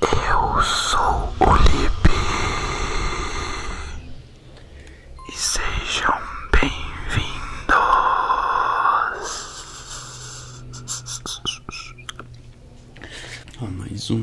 Eu sou o Lipe e sejam bem-vindos a mais um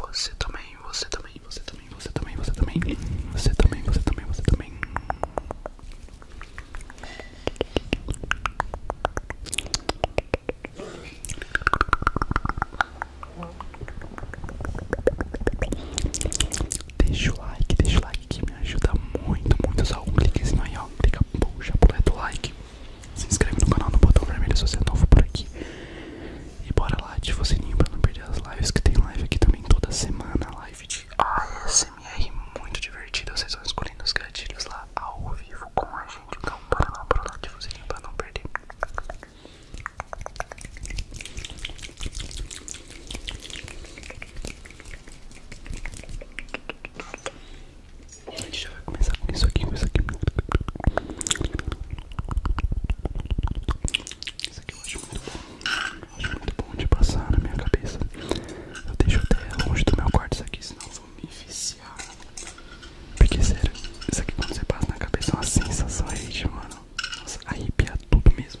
Você também, você também, você também, você também, você também, você também, você também, Deixa o like, deixa o like me ajuda muito, muito. Só um cliquezinho aí, ó. Clica, puxa, pula do like. Se inscreve no canal no botão vermelho se você é novo por aqui. E bora lá, ativa o sininho pra não perder as lives, que tem live aqui também toda semana. Live de ASMR muito divertida. Vocês vão escolhendo os gatilhos lá ao vivo com a gente. Então bora lá, bora lá, ativa o sininho pra não perder. A gente já vai começar com isso aqui, com isso aqui. Isso aqui eu acho muito bom. Acho muito bom de passar na minha cabeça. Eu deixo até longe do meu quarto isso aqui, senão eu vou me viciar. Porque sério, isso aqui quando você passa na cabeça é uma sensação aí, mano. Nossa, arrepia tudo mesmo.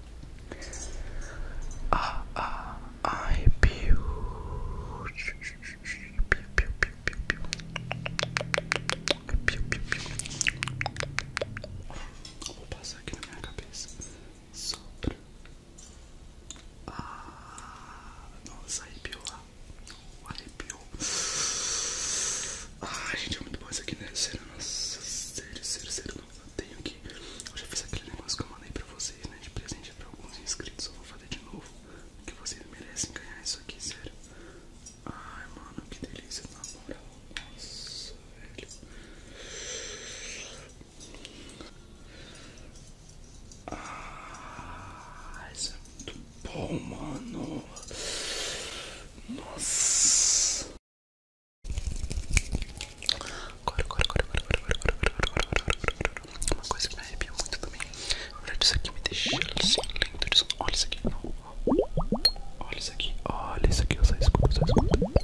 Ah, ah, arrepio. Piu, piu, piu, piu, piu. Piu, piu, piu. Vou passar aqui na minha cabeça. Sopra. Ah, nossa, arrepiou lá. Arrepiou. Ah, gente, é muito bom isso aqui, né? Sério, nossa, sério, sério, sério eu tenho aqui. Eu já fiz aquele negócio que eu mandei pra vocês, né? De presente pra alguns inscritos. Eu vou fazer de novo. porque vocês merecem ganhar isso aqui, sério. Ai, mano, que delícia, na Nossa, velho. Ah, isso é muito bom, mano. Nossa. Agora, agora, agora, agora, agora, agora, agora, agora, agora, agora, agora. Uma coisa que me arrepia muito também. Na verdade, isso aqui me deixa assim, lento de som. Olha isso aqui. Olha isso aqui. Olha isso aqui. Eu só escuto, eu só escuto.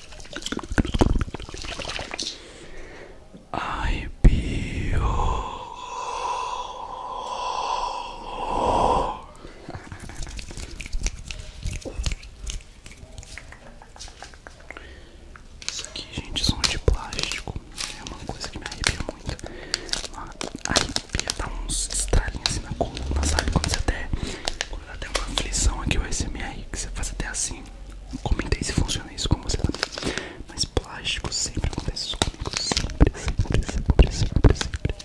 Ai, bio. Isso aqui, gente, som de plástico é uma coisa que me arrepia muito. Arrepia, dá uns estalinhos assim na coluna, sabe? Quando você até. Dá até uma aflição aqui o SMR que você faz até assim. Comentei se funciona isso com você Mas plástico sempre acontece comigo. Sempre, sempre, sempre, sempre,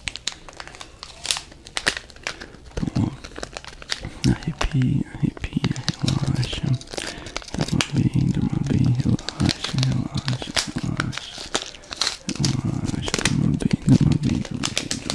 Então, ó. Arrepia, arrepia, relaxa. Tava bem, durma bem, relaxa, relaxa, relaxa. Relaxa, durma tá bem, durma bem, bem, durma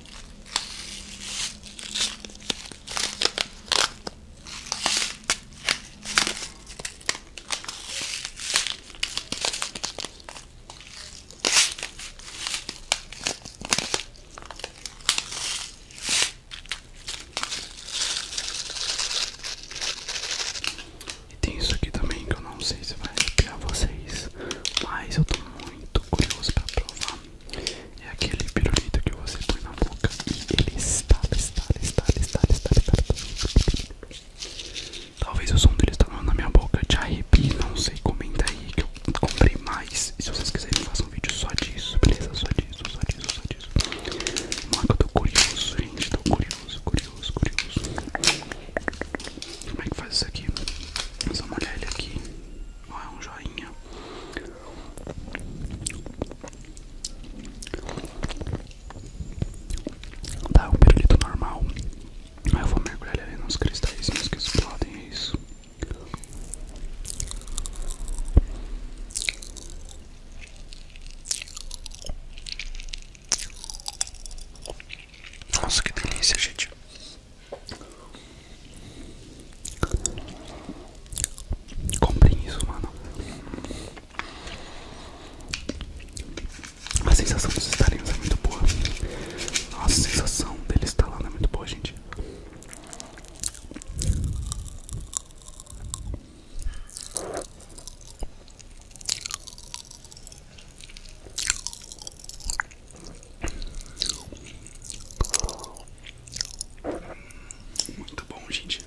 E tem isso aqui também que eu não sei se vai arrepiar vocês, mas eu estou muito curioso para provar. É aquele pirulito que você põe na boca e ele está, está, está, está, está, está. Talvez o som dele está na minha boca, te arrepie, não sei, comenta aí que eu comprei mais. E se vocês quiserem, façam um vídeo só disso, beleza? Só disso, só disso, só disso. Mano, eu tô curioso, gente, tô curioso, curioso, curioso. Como é que faz isso aqui? Vamos molhar ele aqui. Ó, é um joinha. Dá um pirulito normal. Aí eu vou mergulhar ali nos cristalzinhos que explodem, é isso. Nossa, que delícia, gente. Comprem isso, mano. A sensação dos estarinhos é muito boa. Nossa, a sensação dele estalando é muito boa, gente. Muito bom, gente.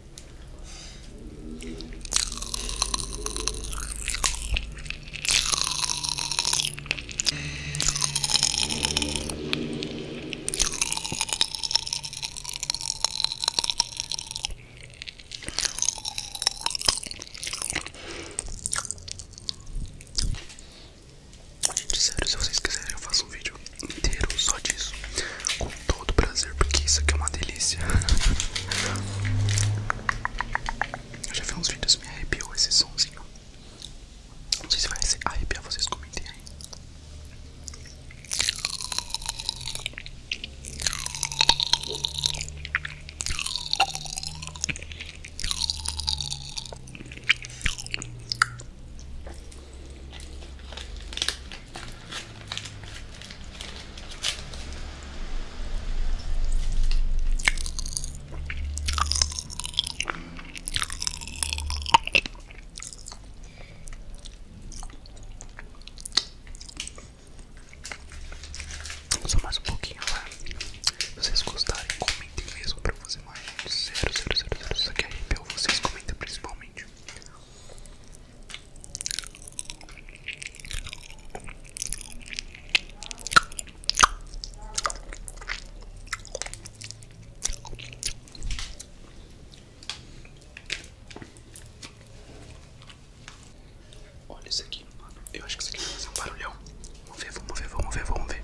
Gente, sério, se vocês quiserem um vídeo inteiro só disso, com todo prazer, porque isso aqui é uma delícia. já vi uns vídeos me arrepiou esse somzinho. Não sei se vai arrepiar vocês, comentem aí. Só mais um pouquinho, né? Se vocês gostarem, comentem mesmo pra fazer mais. zero zero zero zero Isso aqui arrepiou vocês, comentem principalmente. Olha isso aqui, mano. Eu acho que isso aqui vai fazer um barulhão. Vamos ver, vamos ver, vamos ver, vamos ver.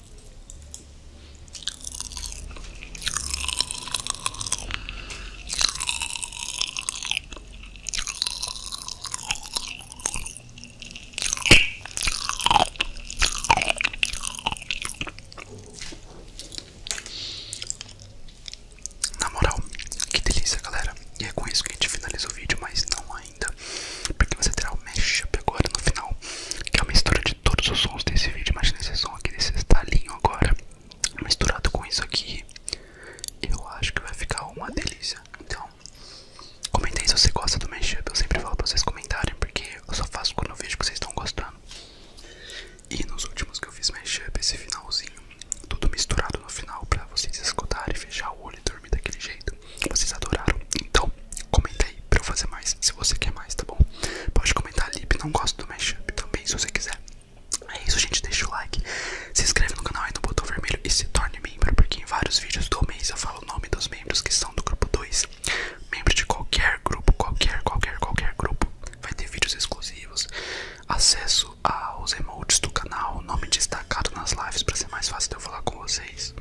Na moral, que delícia, galera. E é com isso que a gente finaliza o vídeo, mas não ainda, porque você terá o mashup agora no final, que é uma mistura de todos os sons desse vídeo. Imagina esse som aqui desse estalinho agora. Misturado com isso aqui, eu acho que vai ficar uma delícia. Então, comentem se você gosta do mashup. Eu sempre falo pra vocês comentarem, porque eu só faço quando eu vejo que vocês estão gostando. E nos últimos que eu fiz mashup, esse finalzinho, tudo misturado no final pra vocês escutarem, fechar o olho e dormir daquele jeito. Vocês adoraram? Então, comenta aí pra eu fazer mais, se você quer mais, tá bom? Pode comentar ali, não gosto do mashup também, se você quiser. É isso, gente, deixa o like, se inscreve no canal aí no botão vermelho e se torne membro, porque em vários vídeos do mês eu falo o nome dos membros que são do grupo 2. Membro de qualquer grupo, qualquer, qualquer, qualquer grupo, vai ter vídeos exclusivos, acesso aos emotes do canal, nome destacado nas lives para ser mais fácil de eu falar com vocês.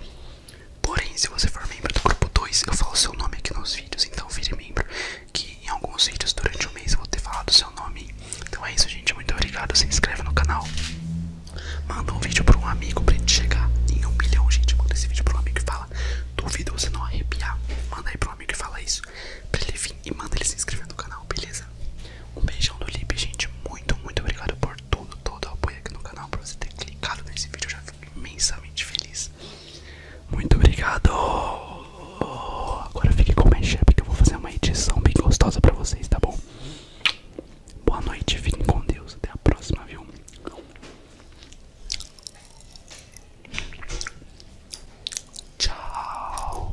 Porém, se você for membro do grupo 2, eu falo seu nome aqui nos vídeos, então fique membro, que em alguns vídeos durante o mês eu vou ter falado seu nome. Então é isso, gente. Muito obrigado. Se inscreve no canal. Manda um vídeo pra um amigo pra gente chegar em um milhão, gente. Manda esse vídeo pra um amigo e fala. Duvido você não arrepiar. Manda aí pra um amigo e fala isso. Pra ele vir e manda ele se inscrever no canal, beleza? Um beijão do Lip, gente. Muito, muito obrigado por tudo, todo o apoio aqui no canal. Por você ter clicado nesse vídeo. Já imensamente feliz. Muito obrigado! Agora fique com o mashup que eu vou fazer uma edição bem gostosa pra vocês, tá bom? Boa noite, fiquem com Deus, até a próxima, viu? Tchau!